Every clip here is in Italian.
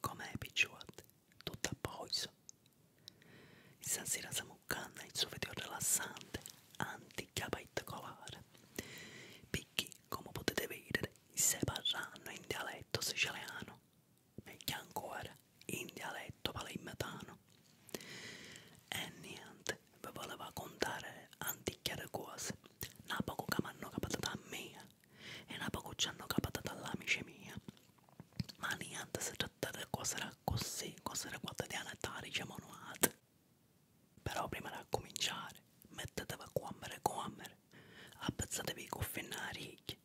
Com'è Picciuat? Tutta poison. I stasera samukkanna il suo video rilassante, anticapaitcolare. Perché, come potete vedere, stai parlando in dialetto siciliano, meglio ancora in dialetto palermitano. E niente, vi volevo contare antiche cose, una poco che mi hanno capitato a me eh è una pagucciando capitata dall'amice mia. Ma niente, si tratta di cose così, cose quotidiane da diciamo noate. Però prima di cominciare, mettetevi a cuomere cuomere, appezzatevi i cuffie nella righe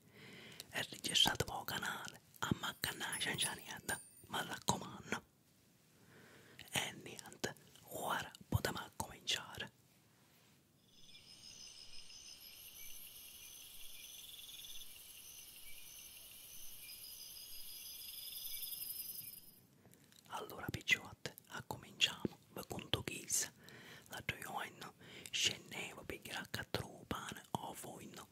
e registratevi al canale, a maccanare niente, ma raccomando. E niente, ora potevamo cominciare. Allora picciotte, cominciamo con Toghis. La gioioin scendeva per cattro pane o foino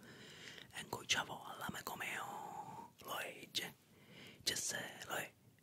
e incominciava a lame come oh, lo legge. C'è se lo è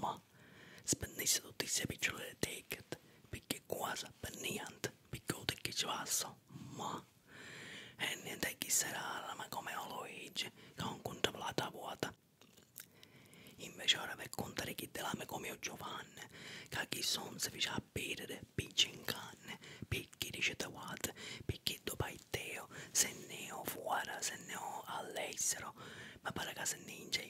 ma spendesse tutti i sei piccioli del ticket perché quasi per niente perché ho che ci passa ma e niente chi sarà ma come Luigi che ha un conto plata vuota invece ora per contare chi te l'ame come io Giovanni che chi son si fece a bere picci in canne perché dice te guarda perché dopo il teo se ne ho fuori se ne ho all'estero ma pare che se ne inge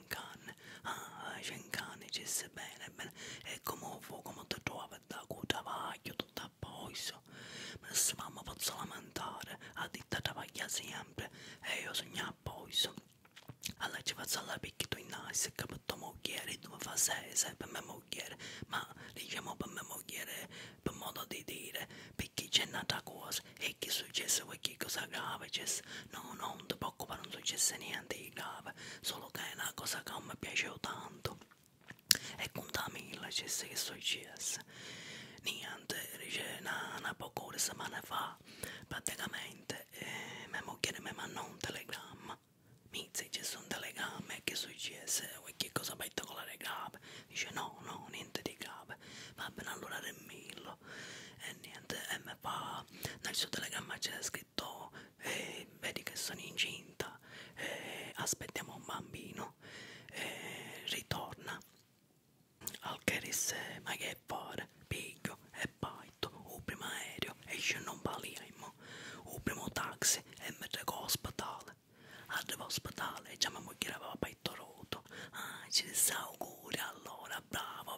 Schenkan, ah, Schenkan, ci si bene, bene, e come fuoco, ma ti trovi da cu travaglio, tutto a poiso, ma se mamma posso lamentare, a ditta travaglia sempre, e io sogno a poiso. Allora ci faccio alla picchia in naso, capito mogliere, tu mi fa sei, sei per me mogliere, ma diciamo per me mogliere, per modo di dire, perché c'è un'altra cosa, e che è successo, e che cosa grave c'è, no, no, non ti preoccupare, non successe niente, spiegava solo che è una cosa che mi piaceva tanto e contamilla c'è che successo niente dice una, una poche settimane fa praticamente eh, mia moglie mi mandò un telegramma mi dice c'è un telegramma che successo che cosa metto con la regata dice no no niente di grave va bene allora remillo e niente e mi fa nel suo telegramma c'è scritto scritto eh, vedi che sono incinta eh, aspettiamo un bambino eh, ritorna al che disse ma che fare piglio e paito un primo aereo e ci non parliamo un primo taxi e mi recò all'ospedale arrivo all'ospedale e già mi moglie aveva paito rotto ah ci auguri allora bravo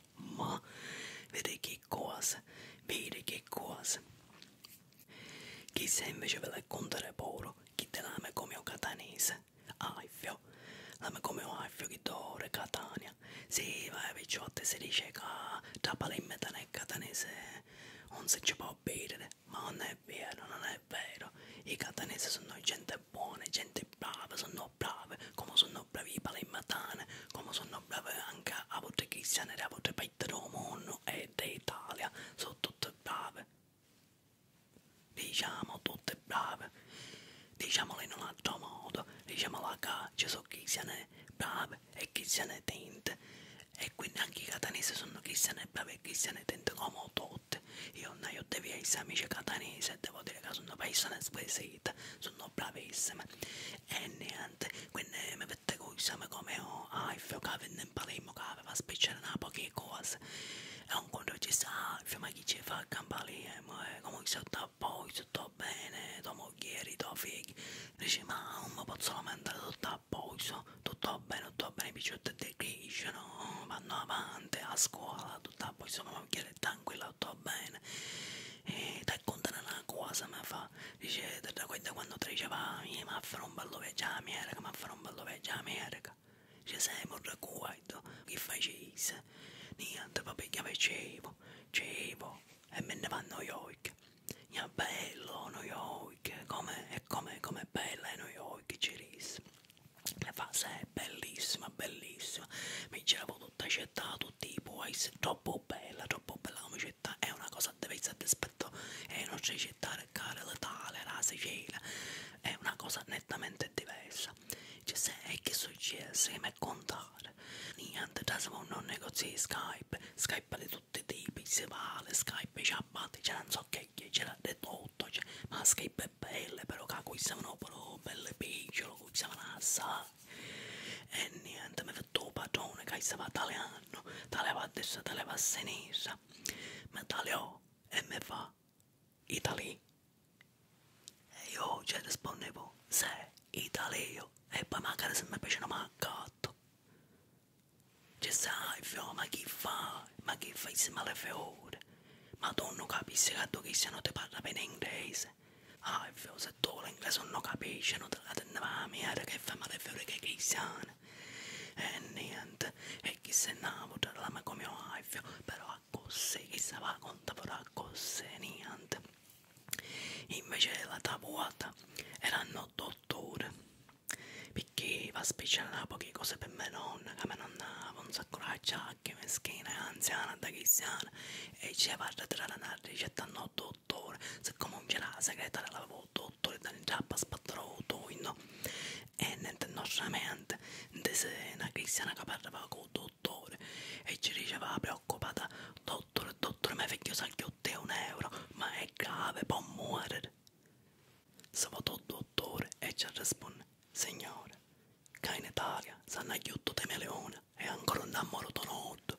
Ma, vedi che cosa, vedi che cosa. Chi se invece ve la contare poro, chi te l'ama come un catanese. Aifio, l'ama come un aifio che d'ore Catania. Sì, vai picciotte, si dice che tra palimetano e catanese non si ci può bere, ma non è vero, non è vero. I catanesi sono gente buona, gente brava, sono brave, como son los bravi para ir matane, como son los bravi anche a vostre cristiane e a vostre paese del mondo e d'Italia, sono tutte brave. Diciamo tutte brave, diciamolo in un altro modo, diciamola che ci sono cristiane brave e cristiane tinte e quindi anche i catanesi sono cristiane brave e cristiane tinte come tutte. Io non ho dei miei amici catanesi e devo dire che sono persone spese vita sono bravissime e niente quindi mi vedete qui siamo come ho oh, Alfio che impareremo che va a spiccare una poche cose e un conto ci sta Alfio ma chi ci fa camparire eh, come sotto a voi tutto bene tua moglie tua figlia dice ma non mi posso lamentare tutto a posto tutto bene tutto bene i picciotti decrescono vanno avanti a scuola tutto a posto ma mi chiede tranquilla tutto bene e te contano una cosa ma fa dice da quando treceva ma farò un ballo vecchio America ma farò un ballo vecchio America ci siamo raccontato che facessi niente papà che facevo cevo e me ne vanno gli occhi è bello New York come è come come bella è New York ci risi la fase è bellissima bellissima mi c'era avuto tutta città, tutti i boys, troppo bella, troppo bella come città, è una cosa deve essere rispetto ai nostri città, care l'Italia, la Sicilia, è una cosa nettamente diversa. Ci cioè, sei che succede, ma è contare. Niente, trasformo un negozio di Skype, Skype di tutti i tipi, si vale, Skype ci abbatti, c'è non so che, c'è l'ha detto tutto, cioè, ma Skype è bella, però qui siamo proprio belle piccole, qui siamo assai e niente mi ha fatto un padrone che stava tagliando tagliava a destra, tagliava a sinistra mi tagliò e mi fa Italy e io ci cioè, rispondevo se Italio e poi magari se mi piacciono ma gatto ci sai fio ma chi fa ma chi fa insieme alle fiore ma tu non capisci che tu che se non ti parla bene inglese Ah, il figlio se tu l'inglese non capisci, non te la teneva a mia, che fa male fiore che chi siano. E niente, e chi se innamora, la ma come ho fio, però a così, chi se va conta, però a così, niente. Invece la tavuata erano dottore perché va speciale poche cose per me nonna che me nonna un sacco la giacca meschina anziana da chissana e ci va a trattare una ricetta no ore. Siccome la segretaria l'avevo 8 ore da giappa spattaroto in e niente nostamente una cristiana che parlava con dottore e ci diceva preoccupata dottore dottore ma vecchio sa che ho te un euro ma è grave può muovere Savotò dottore e ci risponde signore che in Italia sanno aiuto te meleone e ancora non ha morto notte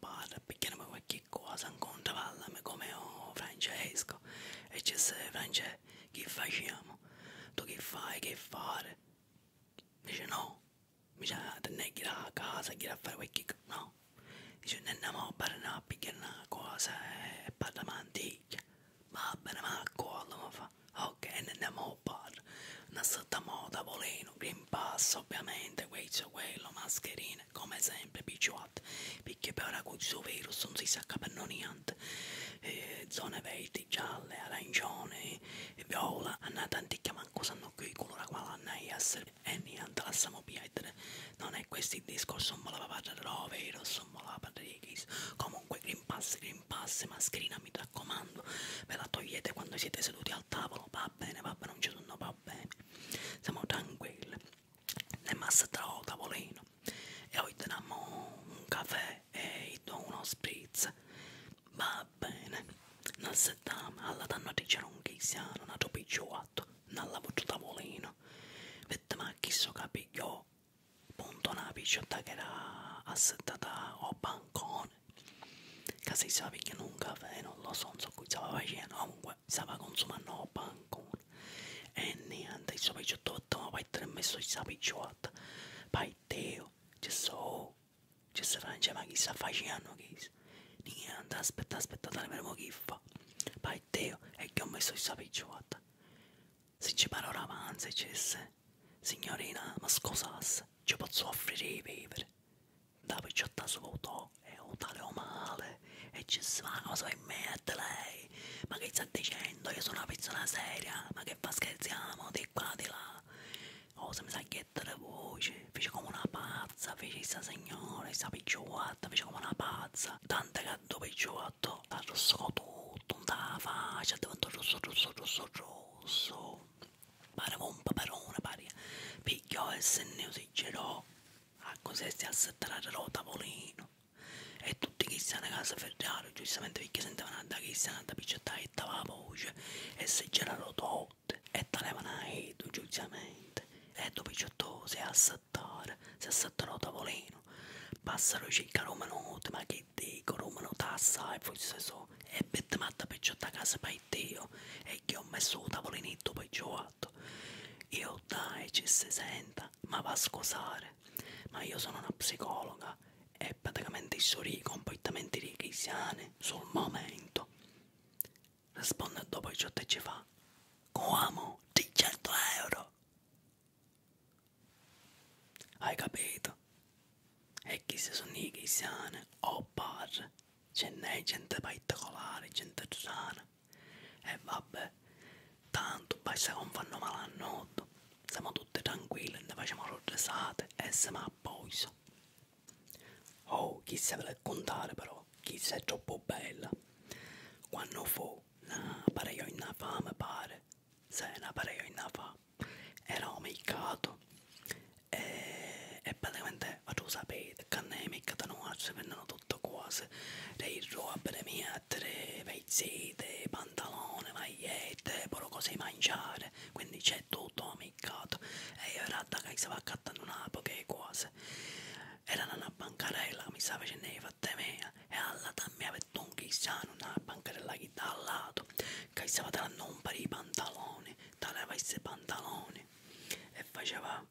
bar perché mi qualche cosa incontravamo come oh, Francesco e ci sei Francesco che facciamo? Tu che fai? Che fare? Dice no, mi dice non è che a casa, che a fare qualche cosa, no. Dice non andiamo a parlare perché è una cosa eh, e parliamo antica. Va bene, ma quello mi fa, ok, non andiamo a parlare. Non stiamo a tavolino, green pass ovviamente, questo, quello, mascherina bene, come sempre, picciuat, perché per questo virus non si sa che per non niente. Eh, zone verdi, gialle, arancione, viola, hanno tanti che manco sanno che colore quale hanno essere e niente, lasciamo perdere. Non è questo il discorso, non me la parlare del virus, non me la parlare di Comunque, Green Pass, Green Pass, mascherina, mi raccomando, ve la togliete quando siete seduti al tavolo, va bene, va bene, non ci sono, va bene. Siamo tranquilli ne massa tra tavolino e ho un caffè e uno spritz va bene nel settame alla danno a un chiesiano una topicciuato nella voce tavolino vette ma chissà capiglio punto una picciotta che era assettata o bancone che si sa che un caffè non lo so non so qui stava facendo comunque stava consumando pancone e eh, niente ci poi 18 ma poi tre messo ci stava picciata poi teo ci so ci sarà cioè, ma chi sta facendo chi niente aspetta aspetta dai vedremo chi fa poi teo e che ho messo ci stava picciata se ci parola avanza e c'è signorina ma scusasse ci posso offrire i vivere Davidotta svuotò e utale male e ci svago su in mente lei. Ma che sta dicendo? Io sono una persona seria, ma che fa scherziamo di qua di là? Oh, se mi sa chiedere voce, fece come una pazza, fece questa signora, questa picciotta, fece come una pazza. Tante che due picciotta, ha rosso tutto, non la faccia, è diventato rosso, rosso, rosso, rosso. Pare un paperone, pare. Pigliò e se ne girò a ah, cosa stessi a lo tavolino e tutti che stanno a casa ferrato giustamente perché sentivano da che stanno da picciata e dava voce e se c'erano tutte e talevano a edo giustamente e dopo picciotto si assettare si assettano lo tavolino passano circa minuti ma che dico minuti assai forse so e bette matta picciotto a casa per Dio e che ho messo un tavolinetto per giù fatto. Io dai, ci si senta, ma va a scusare, ma io sono una psicologa e praticamente sorri completamente richisiane sul momento. Risponde dopo ciò che ci fa. Come? 300 euro! Hai capito? E chi si sono i chisiane o bar? Ce n'è gente particolare, gente strana, e eh, vabbè, tanto poi se non fanno male a notte, siamo tutti tranquilli, ne facciamo rodresate e siamo a poiso. Oh, chi se vuole contare però, chi se è troppo bella. Quando fu, na pareio in una fame pare, se na pareio in una fame, era omiccato e, e praticamente a tu sapete che ne mica da noi vengono tutte cose dei robe miettere pezzite pantalone magliette però cose mangiare quindi c'è tutto amicato e io in realtà che stavo accattando una poche cose era una bancarella che mi stava facendo le fatte mie e alla mia per un chissano una bancarella che da al lato che stava dando un paio di pantaloni tagliava i pantaloni e faceva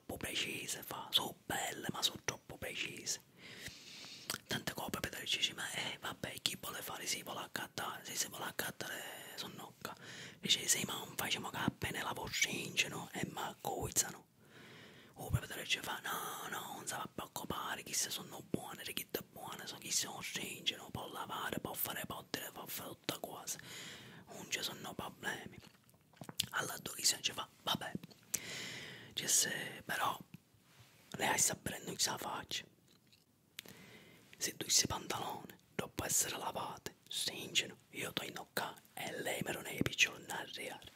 troppo precise, fa, sono belle ma sono troppo precise. Tante copie per dici, ma eh, vabbè, chi vuole fare si vuole accattare, se si vuole accattare sono nocca. Dice, sì, ma non facciamo che appena la no? e ma coizzano. O oh, per ci fa, no, no, non si va a preoccupare, chi se sono buone, le chitte buone, so chi sono no? può lavare, può fare potere, può fare tutte cose. Non ci sono problemi alla Dorisian ci fa vabbè Jess però lei sta prendendo la faccia se tu sei pantalone dopo essere lavate stringono io ti innocca e lei me lo ne piccione arrivare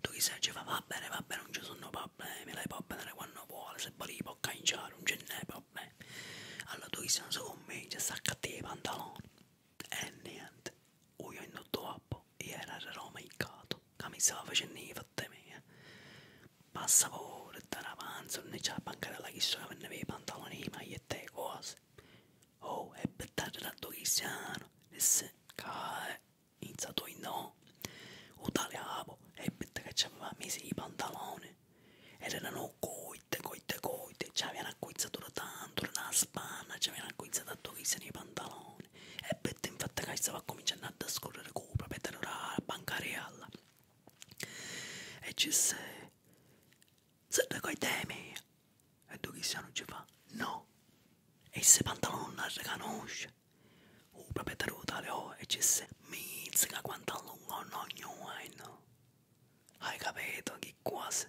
tu chi sei ci fa va bene va bene non ci sono problemi lei può prendere quando vuole se poi può canciare non ce n'è problemi allora tu chi sei non so con me ci sta cattivi pantaloni eh, niente, u in tutto appo, io ero mercato, che mi stava facendo i fatti miei. Passa pure, da avanzo, non c'è la bancarella che sono per i pantaloni, le magliette e cose. Oh, e per dare da Cristiano, e se cae, eh, iniziato in no, u tagliavo, e per che ci aveva messo i pantaloni. Ed erano coite, coite, coite, ci avevano acquistato tanto, una spanna, ci avevano acquistato tanto i pantaloni. E Bette infatti che stava cominciando a trascorrere con la proprietà della banca reale. E ci disse, se te coi temi, e tu chissà non ci fa, no. E se pantalone non riconosce. O proprietario tale o oh, e ci disse, mi che quanto a lungo non ognuno. Eh, Hai capito che quasi?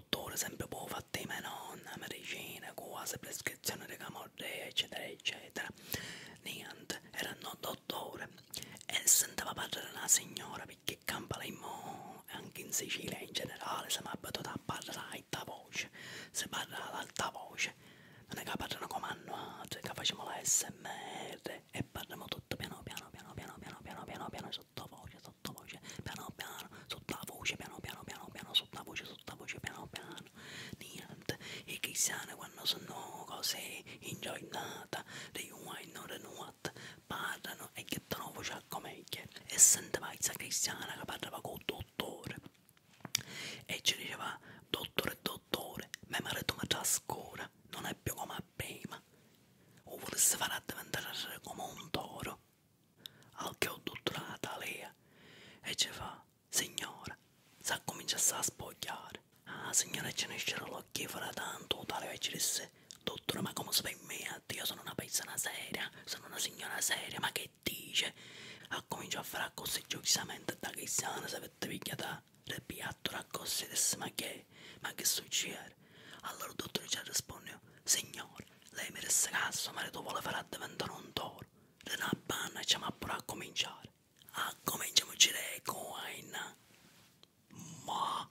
dottore sempre può boh, fatte i menon, medicine, cose, prescrizioni di camorrea, eccetera, eccetera. Niente, era un dottore e sentiva parlare una signora perché campa lei mo, anche in Sicilia in generale, siamo abituati a parlare ad alta voce, si parla ad alta voce, non è che parlano come altri, che facciamo la smr e parliamo tutto piano piano piano piano piano piano piano piano sottovoce voce, sottovoce, piano piano, sottavoce, piano piano, piano piano, sottavoce, sottavoce, piano piano, niente, e chissà quando sono cose ingiornata, rewind, non renewat, parlano e che trovano voce come e sentiva Isa Cristiana che parlava col dottore e ci diceva dottore dottore mio marito mi trascura non è più come prima o volesse far diventare come un toro al che ho tutta la Natalia e ci fa, signora, sa cominciasse a spogliare. Ah, signora, ce ne c'era l'occhio fra tanto, tale e ci disse, dottore, ma come si per me? Io sono una persona seria, sono una signora seria, ma che dice? Ha cominciato a fare così giustamente da cristiana, se avete pigliata del piatto, raccosse, ma che, ma che succede? Allora il dottore ci risponde, signora, lei mi disse che suo marito vuole far diventare un toro. Le una panna e ci siamo pure a cominciare. A ah, cominciamoci lei coin. Ma...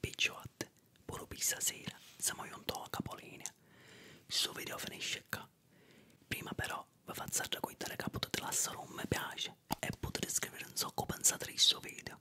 Picciotte, pure pisa sera, siamo giunti a capolinea. Questo video finisce qua. Prima però vi faccio raccontare che potete lasciare un mi piace e potete scrivere un so che pensate di questo video.